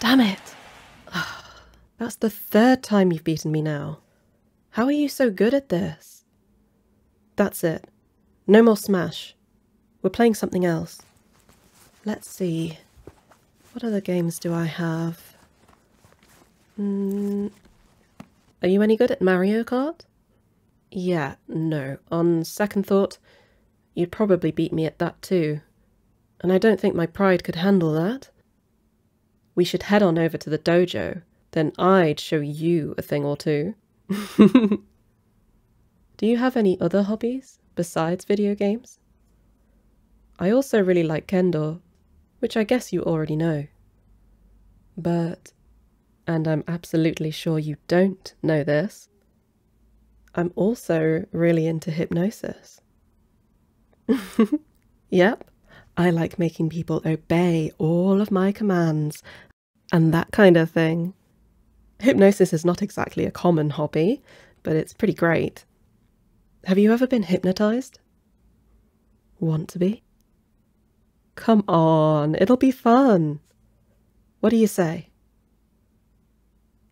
Damn it! that's the third time you've beaten me now. How are you so good at this? That's it. No more Smash. We're playing something else. Let's see. What other games do I have? Hmm. are you any good at Mario Kart? Yeah, no. On second thought, you'd probably beat me at that too. And I don't think my pride could handle that. We should head on over to the dojo, then I'd show you a thing or two. Do you have any other hobbies besides video games? I also really like kendo, which I guess you already know. But and I'm absolutely sure you don't know this, I'm also really into hypnosis. yep, I like making people obey all of my commands and that kind of thing. Hypnosis is not exactly a common hobby, but it's pretty great. Have you ever been hypnotized? Want to be? Come on, it'll be fun. What do you say?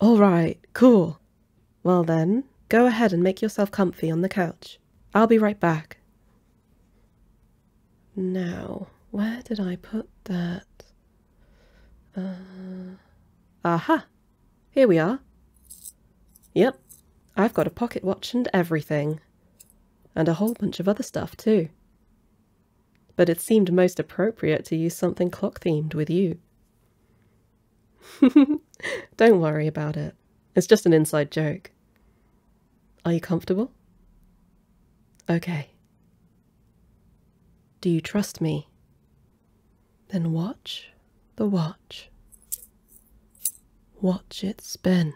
All right, cool. Well then, go ahead and make yourself comfy on the couch. I'll be right back. Now, where did I put that? Ah, aha! Here we are. Yep, I've got a pocket watch and everything. And a whole bunch of other stuff too but it seemed most appropriate to use something clock themed with you. Don't worry about it. It's just an inside joke. Are you comfortable? Okay. Do you trust me? Then watch the watch. Watch it spin.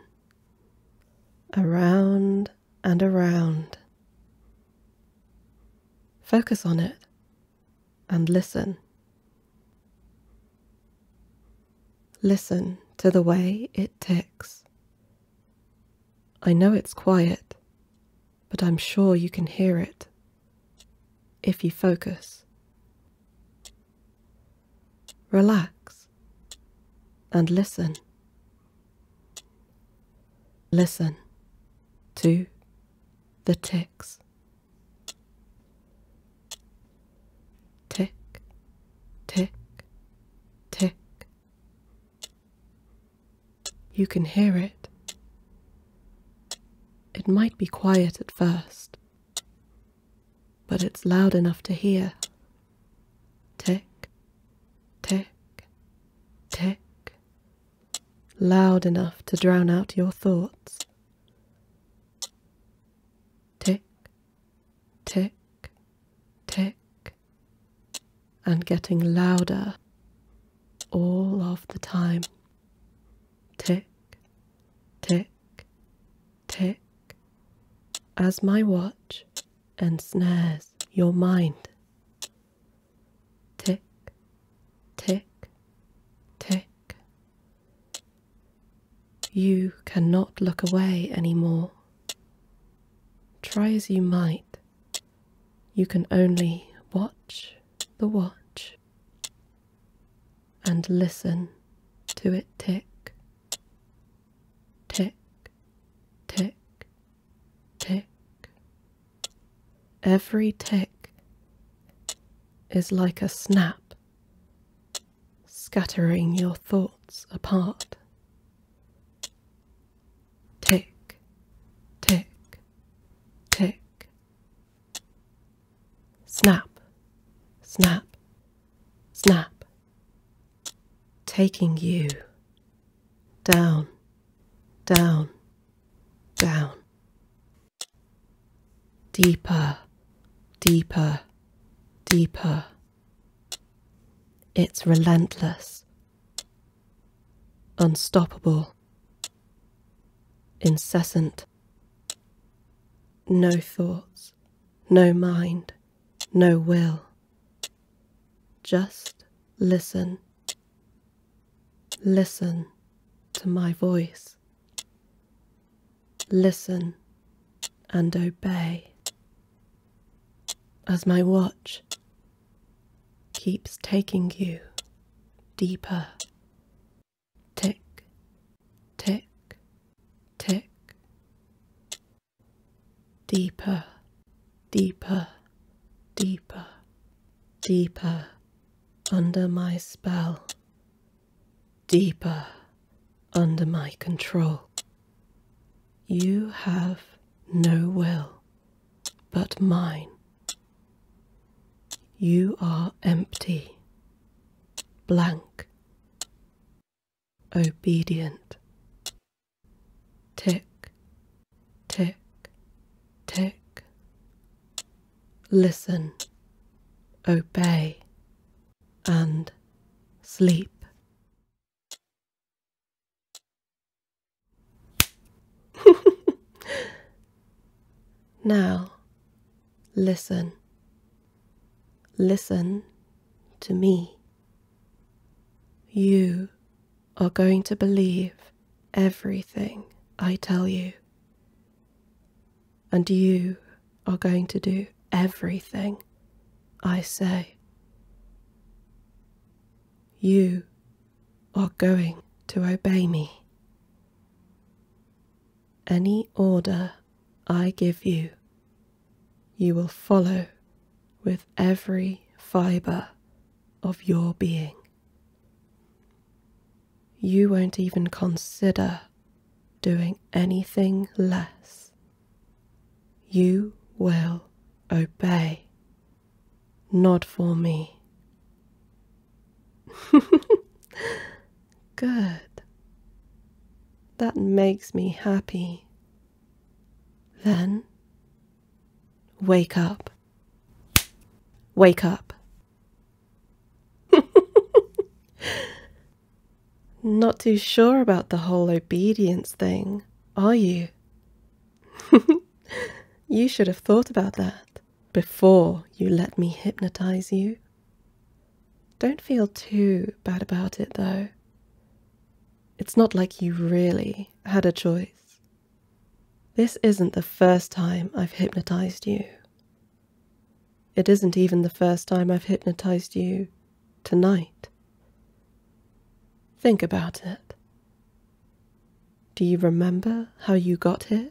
Around and around. Focus on it and listen. Listen to the way it ticks. I know it's quiet, but I'm sure you can hear it if you focus. Relax and listen. Listen to the ticks. Tick, tick, tick. You can hear it. It might be quiet at first, but it's loud enough to hear. Tick, tick, tick, loud enough to drown out your thoughts. Tick, tick, tick, and getting louder all of the time. Tick, tick, tick, as my watch ensnares your mind tick, tick, tick. You cannot look away any more. Try as you might, you can only watch the watch and listen to it tick, tick, tick, tick. Every tick is like a snap, scattering your thoughts apart. Tick, tick, tick. Snap, snap, snap. Taking you down, down, down. Deeper, deeper, deeper. It's relentless, unstoppable, incessant. No thoughts, no mind, no will. Just listen Listen to my voice. Listen and obey. As my watch keeps taking you deeper. Tick, tick, tick. Deeper deeper, deeper, deeper under my spell, deeper under my control. You have no will but mine. You are empty, blank, obedient, Tick, tick, tick. Listen, obey, and sleep. now, listen. Listen to me. You are going to believe everything I tell you. And you are going to do everything I say. You are going to obey me. Any order I give you, you will follow with every fibre of your being. You won't even consider doing anything less. You will obey. Not for me. Good. That makes me happy. Then Wake up. Wake up. Not too sure about the whole obedience thing, are you? you should have thought about that before you let me hypnotize you. Don't feel too bad about it, though. It's not like you really had a choice. This isn't the first time I've hypnotized you. It isn't even the first time I've hypnotized you tonight. Think about it. Do you remember how you got here?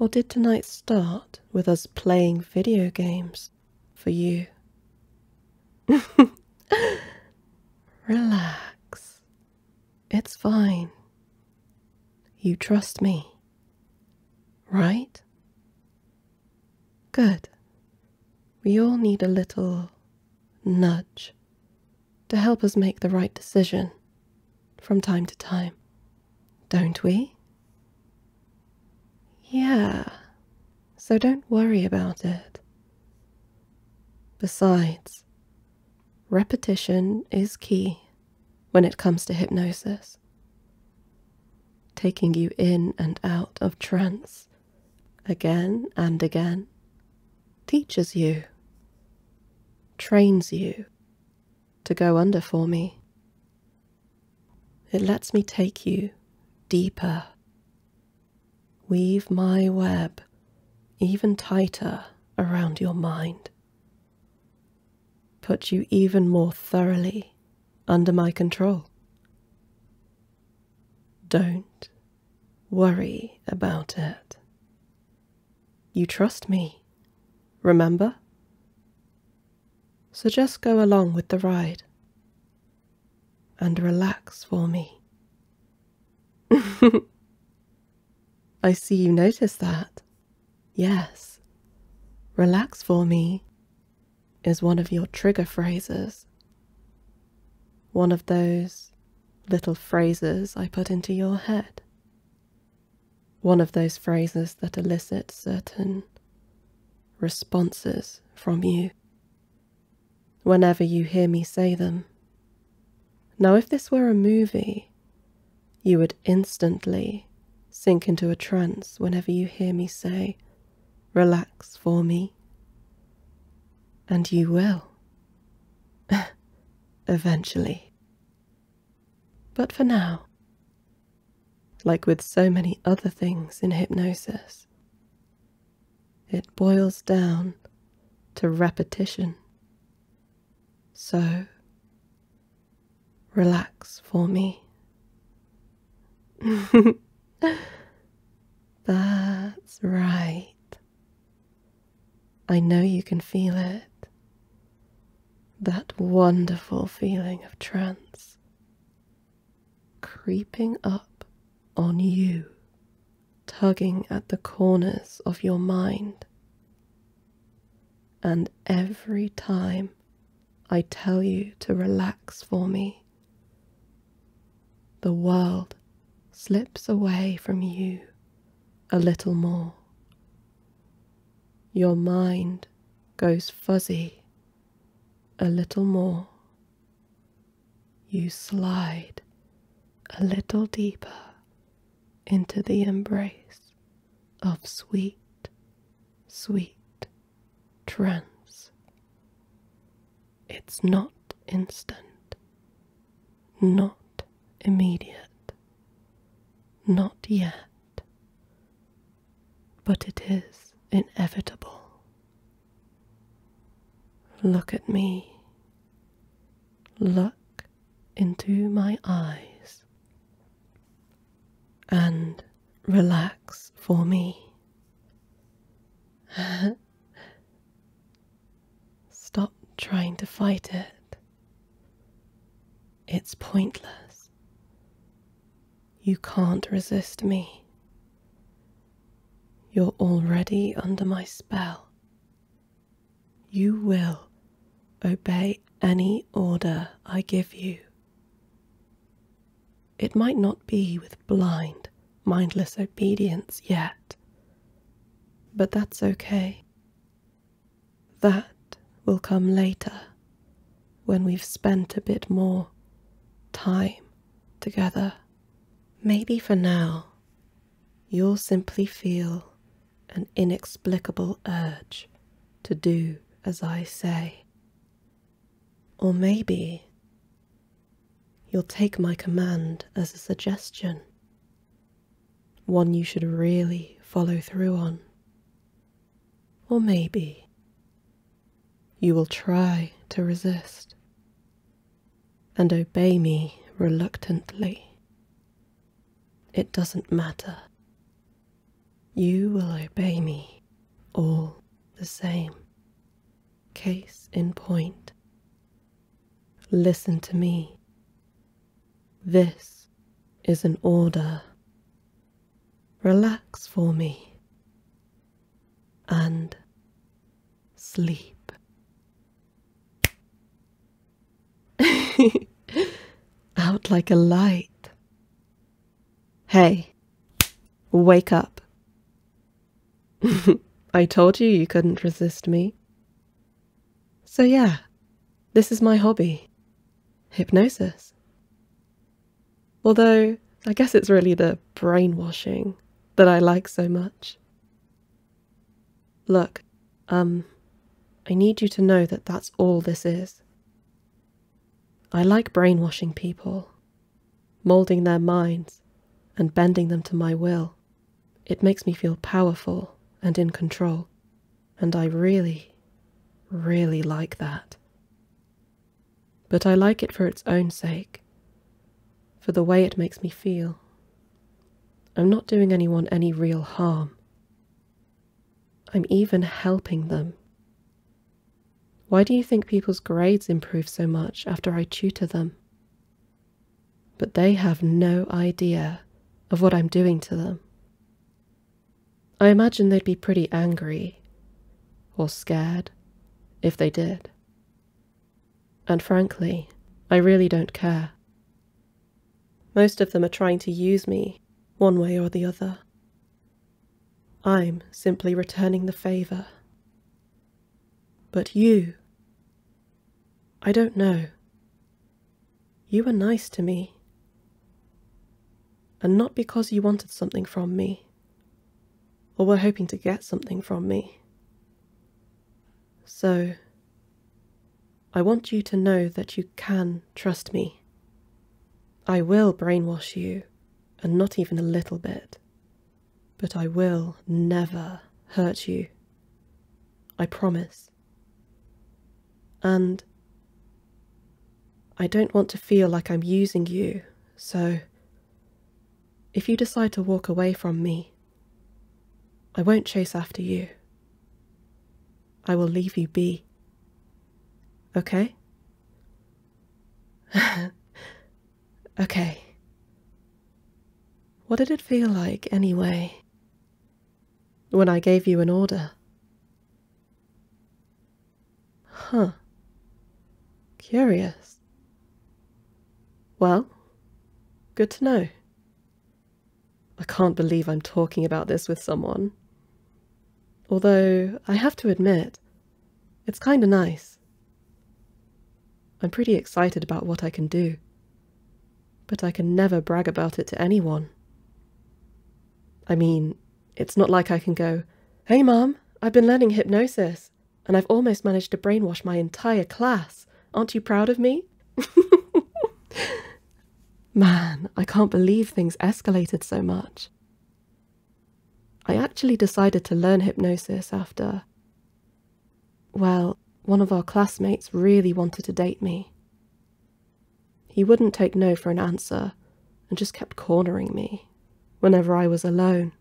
Or did tonight start with us playing video games for you? Relax. It's fine. You trust me, right? Good. We all need a little nudge to help us make the right decision from time to time, don't we? Yeah, so don't worry about it. Besides, repetition is key when it comes to hypnosis. Taking you in and out of trance again and again teaches you, trains you to go under for me. It lets me take you deeper Weave my web even tighter around your mind. Put you even more thoroughly under my control. Don't worry about it. You trust me, remember? So just go along with the ride and relax for me I see you notice that. Yes. Relax for me is one of your trigger phrases. One of those little phrases I put into your head. One of those phrases that elicit certain responses from you whenever you hear me say them. Now, if this were a movie, you would instantly sink into a trance whenever you hear me say, Relax for me. And you will. Eventually. But for now, like with so many other things in hypnosis, it boils down to repetition. So, relax for me. That's right. I know you can feel it. That wonderful feeling of trance creeping up on you tugging at the corners of your mind. And every time I tell you to relax for me, the world slips away from you a little more. Your mind goes fuzzy a little more you slide a little deeper into the embrace of sweet, sweet trance. It's not instant, not immediate, not yet, but it is inevitable. Look at me Look into my eyes and relax for me. Stop trying to fight it. It's pointless. You can't resist me. You're already under my spell. You will obey any order I give you. It might not be with blind, mindless obedience yet, but that's okay. That will come later when we've spent a bit more time together. Maybe for now, you'll simply feel an inexplicable urge to do as I say. Or maybe you'll take my command as a suggestion, one you should really follow through on. Or maybe you will try to resist, and obey me reluctantly. It doesn't matter. You will obey me all the same. Case in point. Listen to me. This is an order. Relax for me and sleep. Out like a light. Hey, wake up. I told you you couldn't resist me. So yeah, this is my hobby. Hypnosis. Although, I guess it's really the brainwashing that I like so much. Look, um, I need you to know that that's all this is. I like brainwashing people, moulding their minds, and bending them to my will. It makes me feel powerful and in control, and I really, really like that. But I like it for its own sake, for the way it makes me feel I'm not doing anyone any real harm. I'm even helping them. Why do you think people's grades improve so much after I tutor them? But they have no idea of what I'm doing to them. I imagine they'd be pretty angry or scared if they did. And frankly, I really don't care. Most of them are trying to use me, one way or the other. I'm simply returning the favour. But you. I don't know. You were nice to me. And not because you wanted something from me, or were hoping to get something from me. So, I want you to know that you can trust me. I will brainwash you, and not even a little bit, but I will never hurt you. I promise. And I don't want to feel like I'm using you, so if you decide to walk away from me, I won't chase after you. I will leave you be. Okay? okay. What did it feel like, anyway, when I gave you an order? Huh. Curious. Well, good to know. I can't believe I'm talking about this with someone. Although, I have to admit, it's kinda nice. I'm pretty excited about what I can do, but I can never brag about it to anyone. I mean, it's not like I can go, Hey, madam I've been learning hypnosis, and I've almost managed to brainwash my entire class. Aren't you proud of me? Man, I can't believe things escalated so much. I actually decided to learn hypnosis after. Well, one of our classmates really wanted to date me. He wouldn't take no for an answer and just kept cornering me whenever I was alone.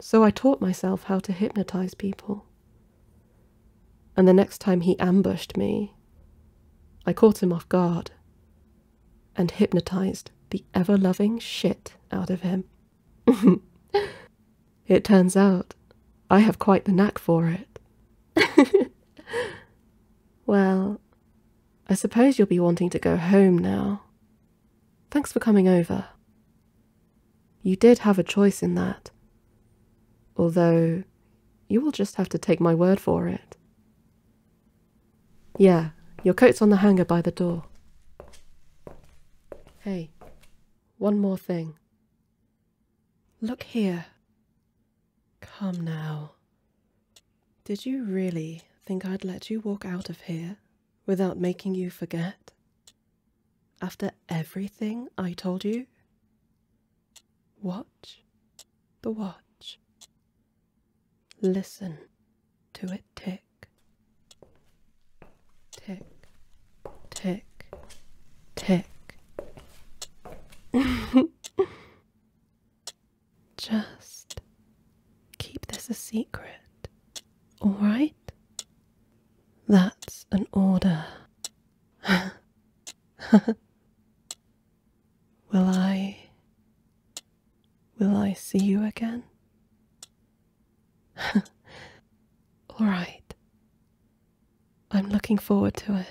So I taught myself how to hypnotize people. And the next time he ambushed me, I caught him off guard and hypnotized the ever loving shit out of him. it turns out I have quite the knack for it. well, I suppose you'll be wanting to go home now. Thanks for coming over. You did have a choice in that. Although, you will just have to take my word for it. Yeah, your coat's on the hanger by the door. Hey, one more thing. Look here. Come now. Did you really think I'd let you walk out of here without making you forget? After everything I told you? Watch the watch. Listen to it tick. Tick, tick, tick. Just keep this a secret, alright? That's an order will I. Will I see you again? All right. I'm looking forward to it.